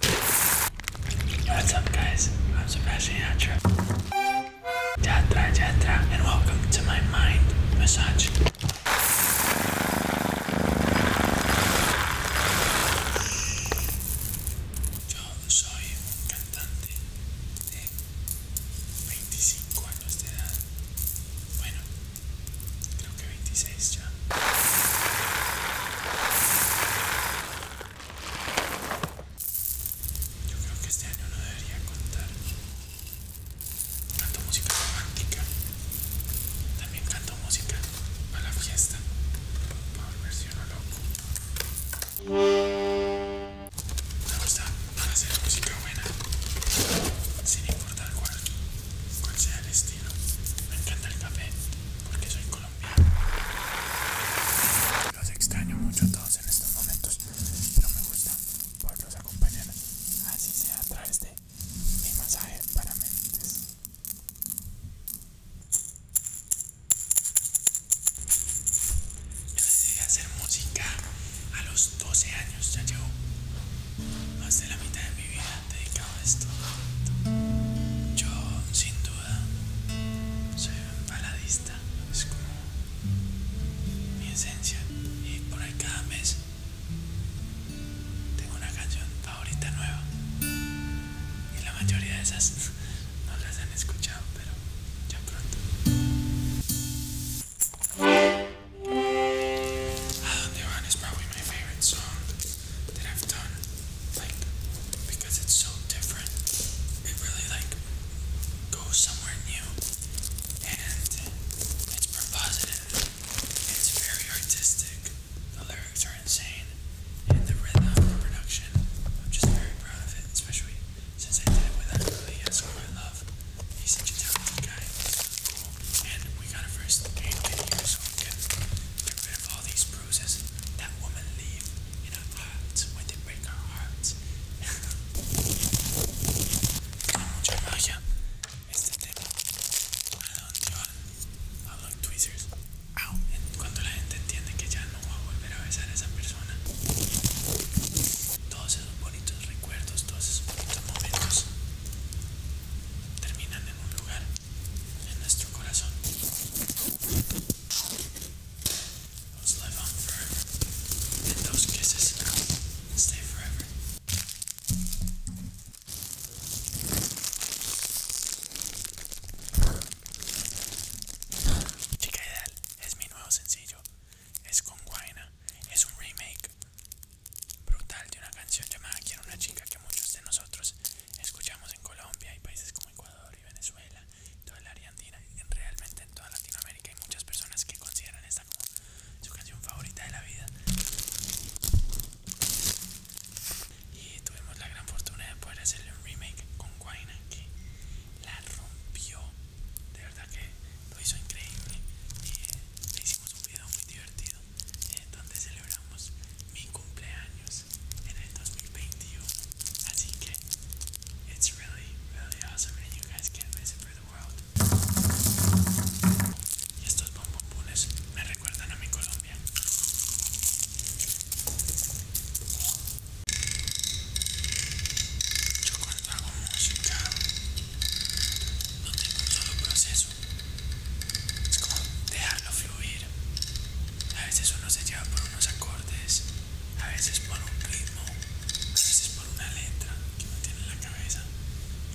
What's up guys? I'm Sebastian Yatra. Yatra Yatra and welcome to my mind massage. Yo soy un cantante de 25 años de edad. Bueno, creo que 26 ya. Yo creo que este año no debería contar. Canto música romántica. También canto música para la fiesta. Para volverse uno loco. Me gusta hacer música buena. Sin importar cuál, sea el estilo. Me encanta el café porque soy colombiano. Los extraño mucho a todos en estos momentos, pero me gusta poderlos acompañar, así sea a través de mi masaje para mentes. Yo decidí hacer música a los 12 años, ya llevo más de la mitad de mi vida dedicada esto. Yo, sin duda, soy un baladista. Es como mi esencia. Y por ahí cada mes tengo una canción favorita nueva. Y la mayoría de esas no las han escuchado, pero ya pronto. ¿A dónde van? is probably my favorite that I've done, like, because it's so different, it really, like, goes somewhere new, and it's propositive, it's very artistic, the lyrics are insane, and the rhythm, the production, I'm just very proud of it, especially since I did it with Anthony Esco, I love, he's such a talented guy, cool, and we got a first aid kit here, so get rid of all these bruises that women leave in our hearts when they break our hearts. Tiene mucha magia este tema. I don't know, I don't tweezers. Ow. Cuando la gente entiende que ya no va a volver a besar a esa persona. Todos esos bonitos recuerdos, todos esos bonitos momentos terminan en un lugar en nuestro corazón live Chica Ideal es mi nuevo sencillo. Es con Guaina. Es un remake brutal de una canción llamada Quiero una chica que muchos de nosotros Escuchamos en Colombia y países como Ecuador y Venezuela, toda la argentina realmente en toda Latinoamérica hay muchas personas que consideran esta como su canción favorita de la vida. Y tuvimos la gran fortuna de poder hacerle un remake con Guayna que la rompió. De verdad que lo hizo increíble. le eh, hicimos un video muy divertido eh, donde celebramos mi cumpleaños en el 2021. Así que it's really, really awesome and you guys can't miss it for the world. Y estos bombombones me recuerdan a mi Colombia. Yo cuando hago música no tengo un solo proceso. Es como dejarlo fluir. A veces uno se lleva por unos acordes, a veces por un ritmo, a veces por una letra que uno tiene en la cabeza.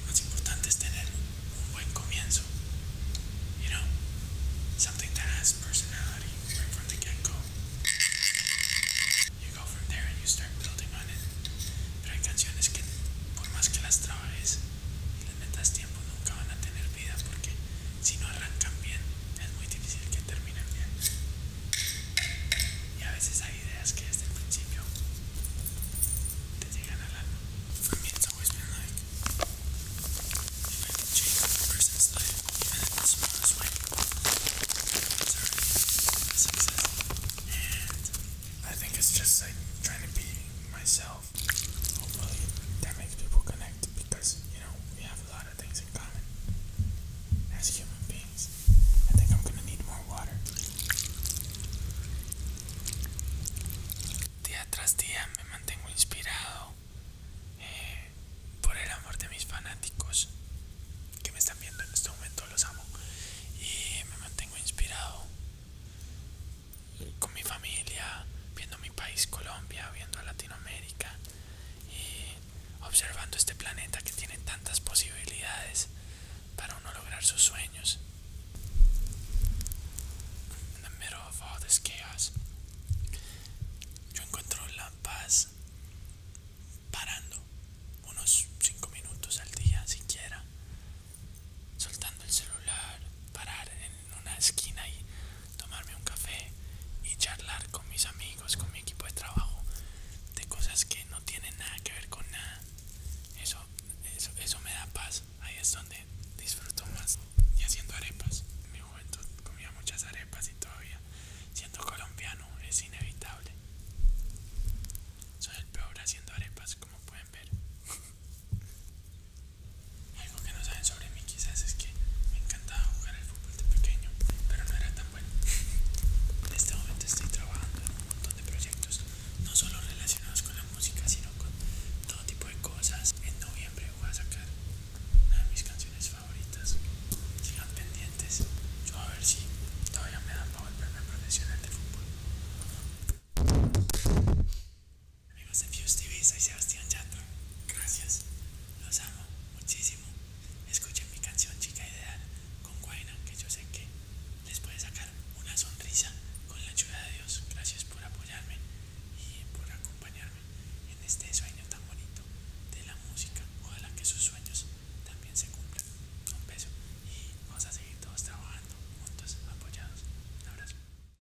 Lo más importante es tener un buen comienzo. You know, something that has personality right from the get-go. You go from there and you start building on it. Pero hay canciones que por más que las trabajes, las metas tiempo nunca van a tener vida porque si no arrancan bien es muy difícil que terminen bien y a veces hay ideas que desde el principio te llegan al alma for me it's always been like if I can change a person's life even in the smallest way it's already a success and I think it's just like trying to be myself Espero que that makes people connect because, you know, we have a lot of things in common as human beings. I think I'm gonna need more water. Día tras día me mantengo inspirado eh, por el amor de mis fanáticos que me están viendo en este momento, los amo. Y me mantengo inspirado eh, con mi familia, viendo mi país Colombia, viendo Latinoamérica y observando este planeta que tiene tantas posibilidades para uno lograr sus sueños. In the middle of all this chaos, yo encuentro la paz parando unos 5 minutos al día siquiera, soltando el celular, parar en en una esquina y tomarme un café y charlar con mis amigos, con mi equipo de trabajo, de cosas que no tienen nada que ver con nada. Eso, eso, me da paz. Ahí es donde disfruto más. Y haciendo arepas. En mi juventud comía muchas arepas y todavía, siendo colombiano, es inevitable. Soy el peor haciendo arepas, como pueden ver. Algo que no saben sobre mí quizás es que me encantaba jugar al fútbol de pequeño, pero no era tan bueno. En este momento estoy trabajando en un montón de proyectos, no solo relacionados con la música, sino con todo tipo de cosas. En noviembre voy a sacar una de mis canciones favoritas. Sigan pendientes. Yo a ver si todavía me dan el volverme profesional de fútbol. Amigos de Fuse TV, soy Sebastián Chato, Gracias. Los amo muchísimo. Escuchen mi canción Chica Ideal con Guayna, que yo sé que les puede sacar una sonrisa con la ayuda de Dios. Gracias por apoyarme y por acompañarme en este sueño tan bonito de la música. Ojalá que sus sueños también se cumplan. Un beso y vamos a seguir todos trabajando juntos, apoyados. Un abrazo.